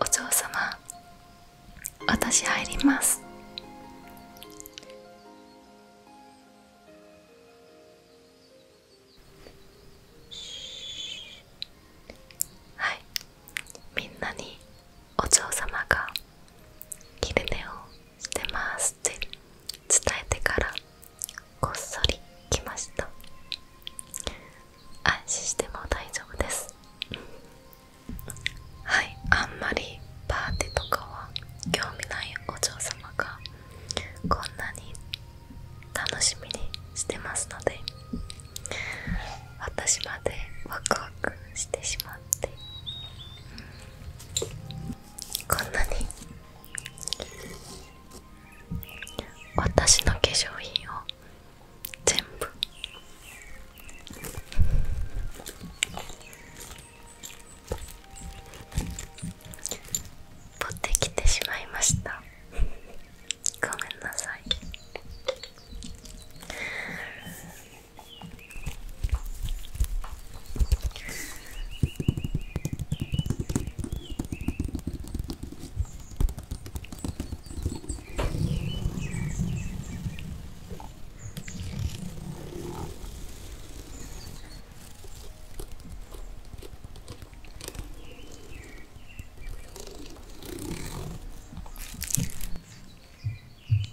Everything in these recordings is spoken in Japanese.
お嬢様私入りますはいみんなにお嬢様が昼ね。をしてますって伝えてからこっそり来ました安心しても大丈夫ですはいあんまりパーティーとかは興味ないお嬢様がこんなに楽しみにしてますので私までワクワクしてしまってこんなに私の化粧品を全部持ってきてしまいましたごめんなさい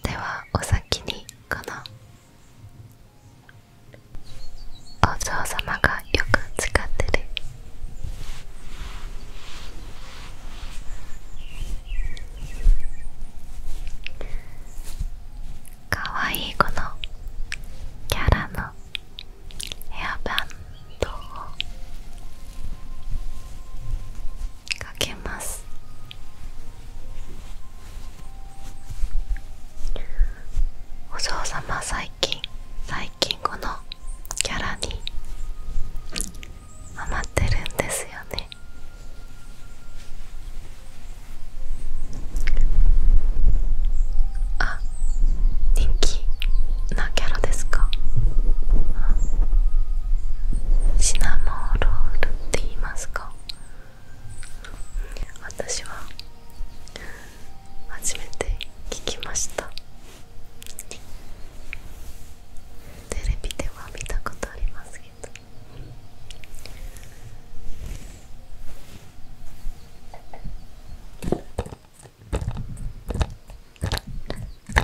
ではお先にこのお嬢様がよく使ってるかわいいこのキャラのヘアバンドをかけますお嬢様最近最近このキャラにハマってるんですよねあ人気なキャラですかシナモロールって言いますか私は初めて聞きましたテレビでは見たことありますけど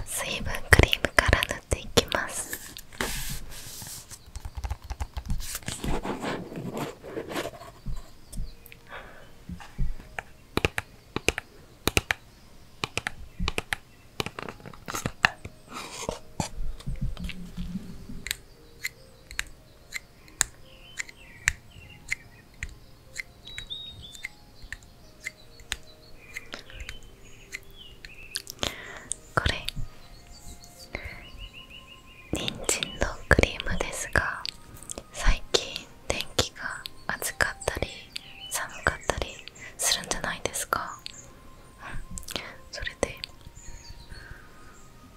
水分クリームから塗っていきますこれ人参のクリームですが最近天気が暑かったり寒かったりするんじゃないですかそれで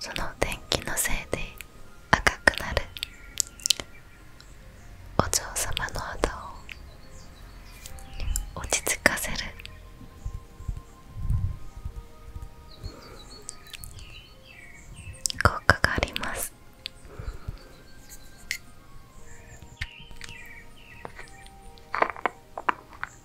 その電気のせいで赤くなるお嬢様の肌を落ち着かせる効果があります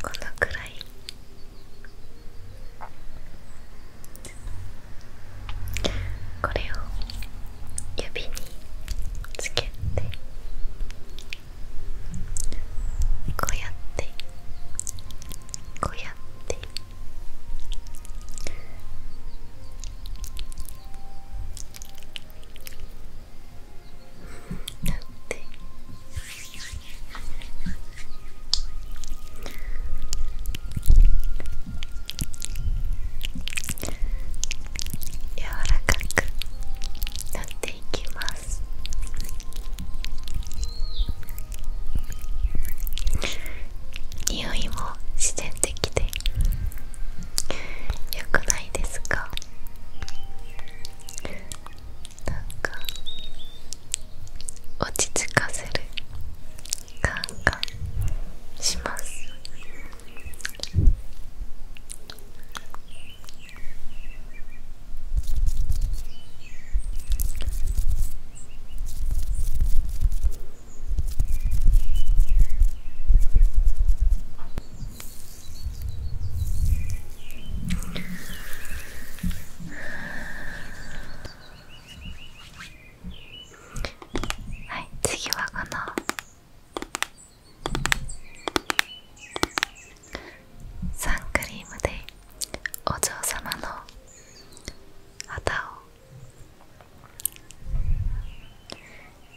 このくらいこれを指につけて。こうやってこうやってなって柔らかくなってていきます匂いも自然的で良くないですかなんか落ち着かせる感がしますはい次はこのサンクリームでお嬢様の肌を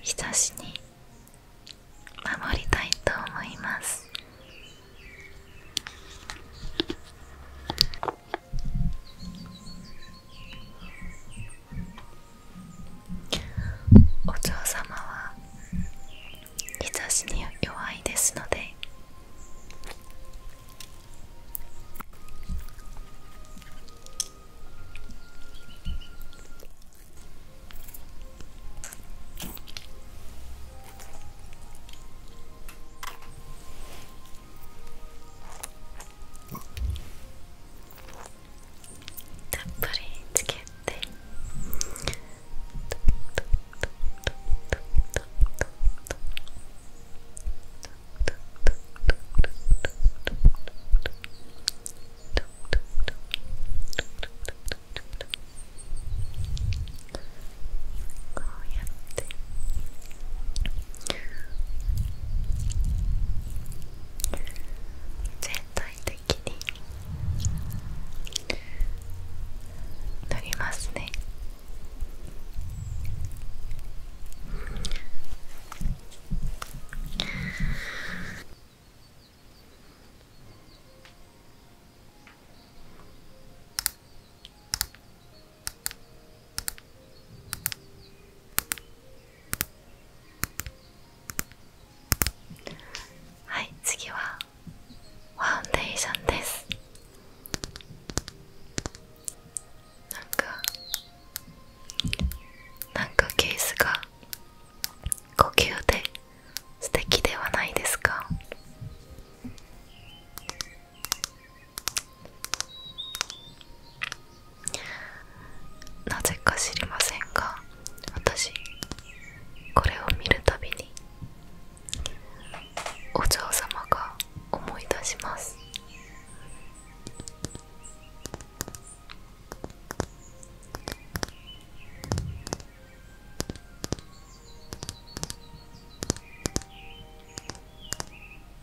日差しに守りたいと思いますお嬢様は日差しに弱いですのでおやっぱりつけてこうやって全体的になりますねはい次はファンデーションですなんかなんかケースが呼吸で素敵ではないですかなぜか知りませんが私これを見るたびにお嬢様が思い出します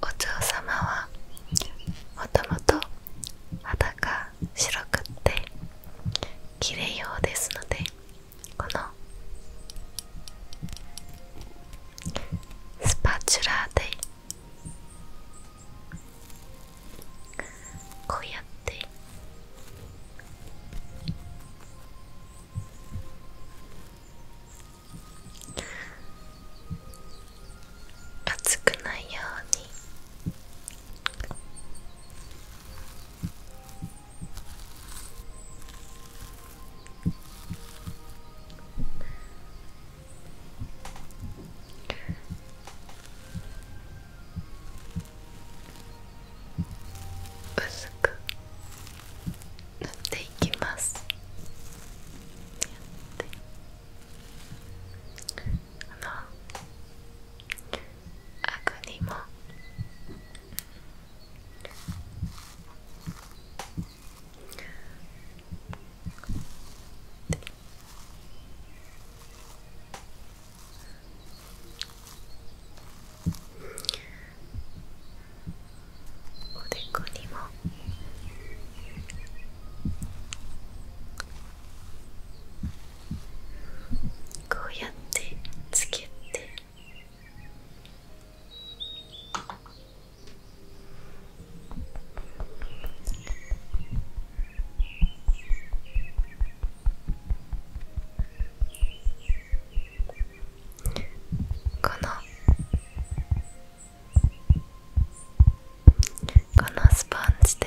お嬢様はもともと肌が白くって綺麗ようですのでこのスパチュラでこうやって熱くないように薄く塗っていきますあのにもおでこにもこうやってつけてこのこのスポンジで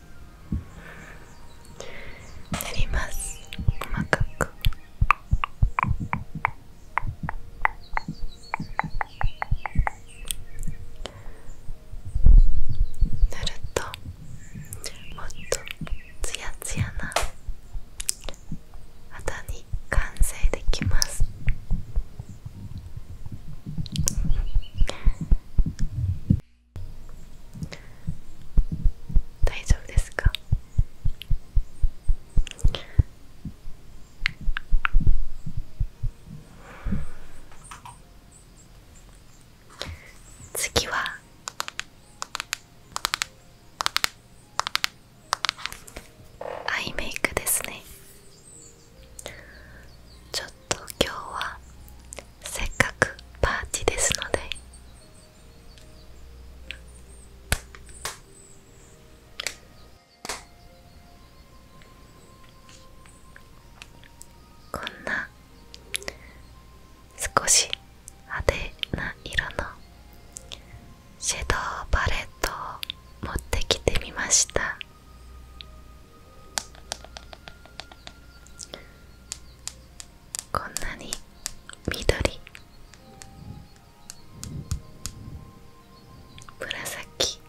塗ります細かく塗るともっとツヤツヤな肌に完成できます大丈夫ですか次はアイメイクですねちょっと今日はせっかくパーティーですのでこんな少し派手な色のシェドーパレットを持ってきてみましたこんなに緑紫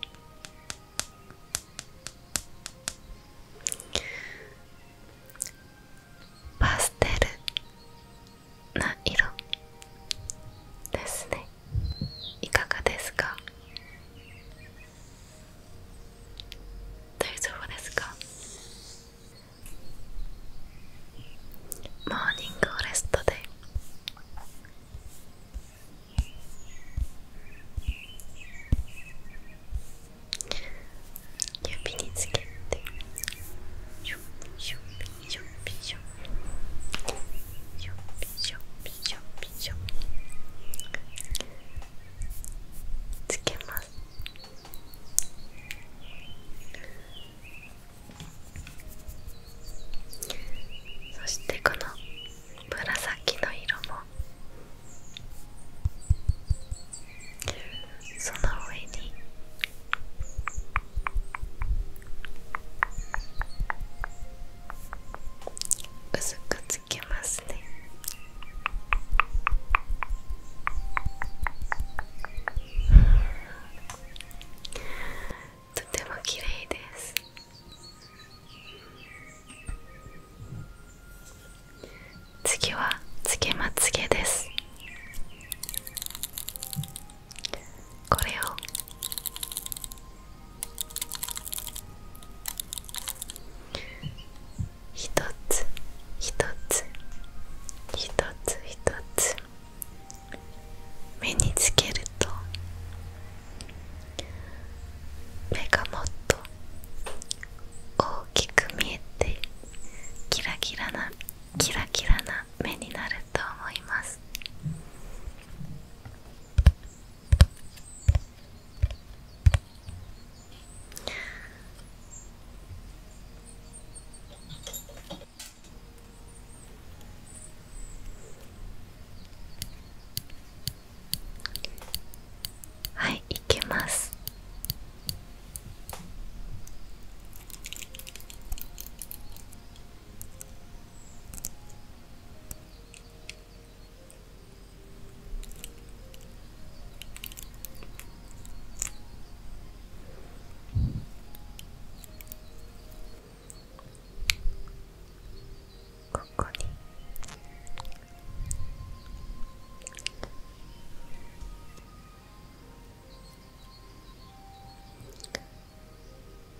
パステルな色ですねいかがですか大丈夫ですかモーニングレストで指につけてシュッシシュッシシュッシシュッシびしょびしょつけますそしてこの紫の色もその上に薄くつけますねとてもきれいです次はつけまつげですこれを一つ一つ一つ一つ目につけると目がもっと大きく見えてキラキラなキラキラな目になると思いますはい行きますここに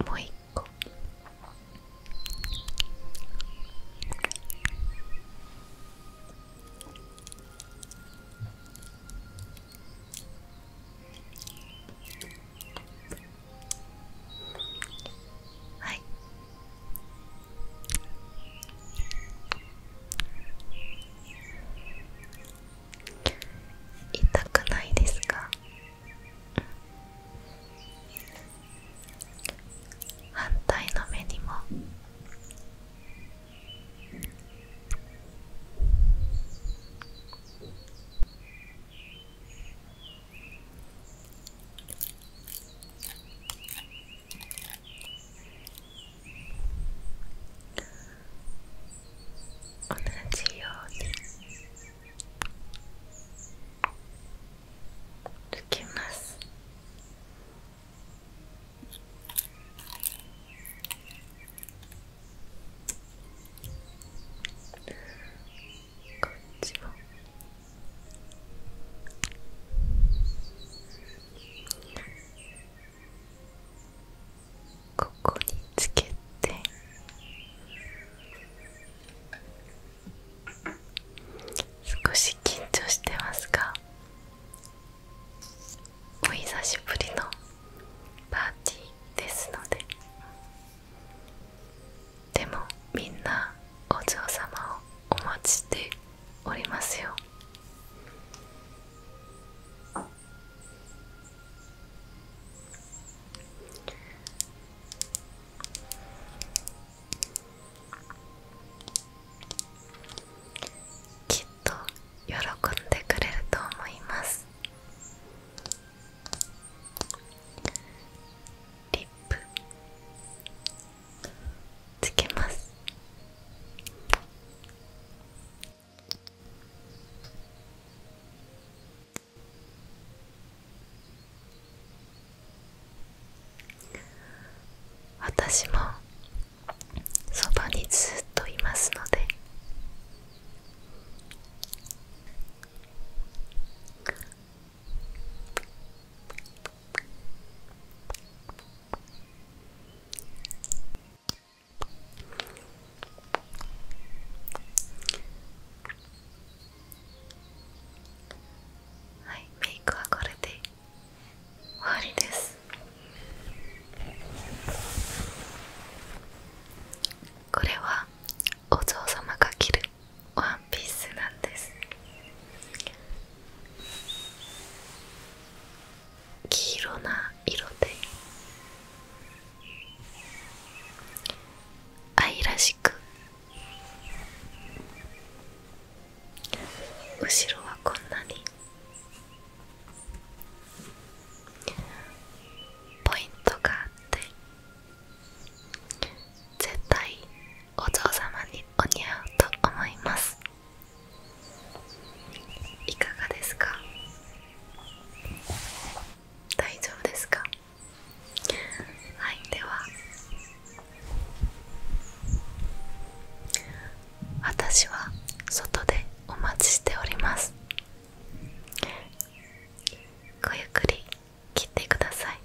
もう一個はい痛くないですか反対の目にも同じように。抜けますこっちもここにつけて少し緊張してますがお久しぶりのパーティーですのででもみんなお嬢様をお待ちしておりますよきっと喜んでくれると思いますリップつけます私もそばにずっといますのではいメイクはこれで終わりですこれはお嬢様が着るワンピースなんです黄色な色で愛らしく後ろはこんなにポイントがあって絶対お嬢様にお似合うと思いますいかがですか大丈夫ですかはいでは私は外でお待ちしておりますごゆっくり切ってください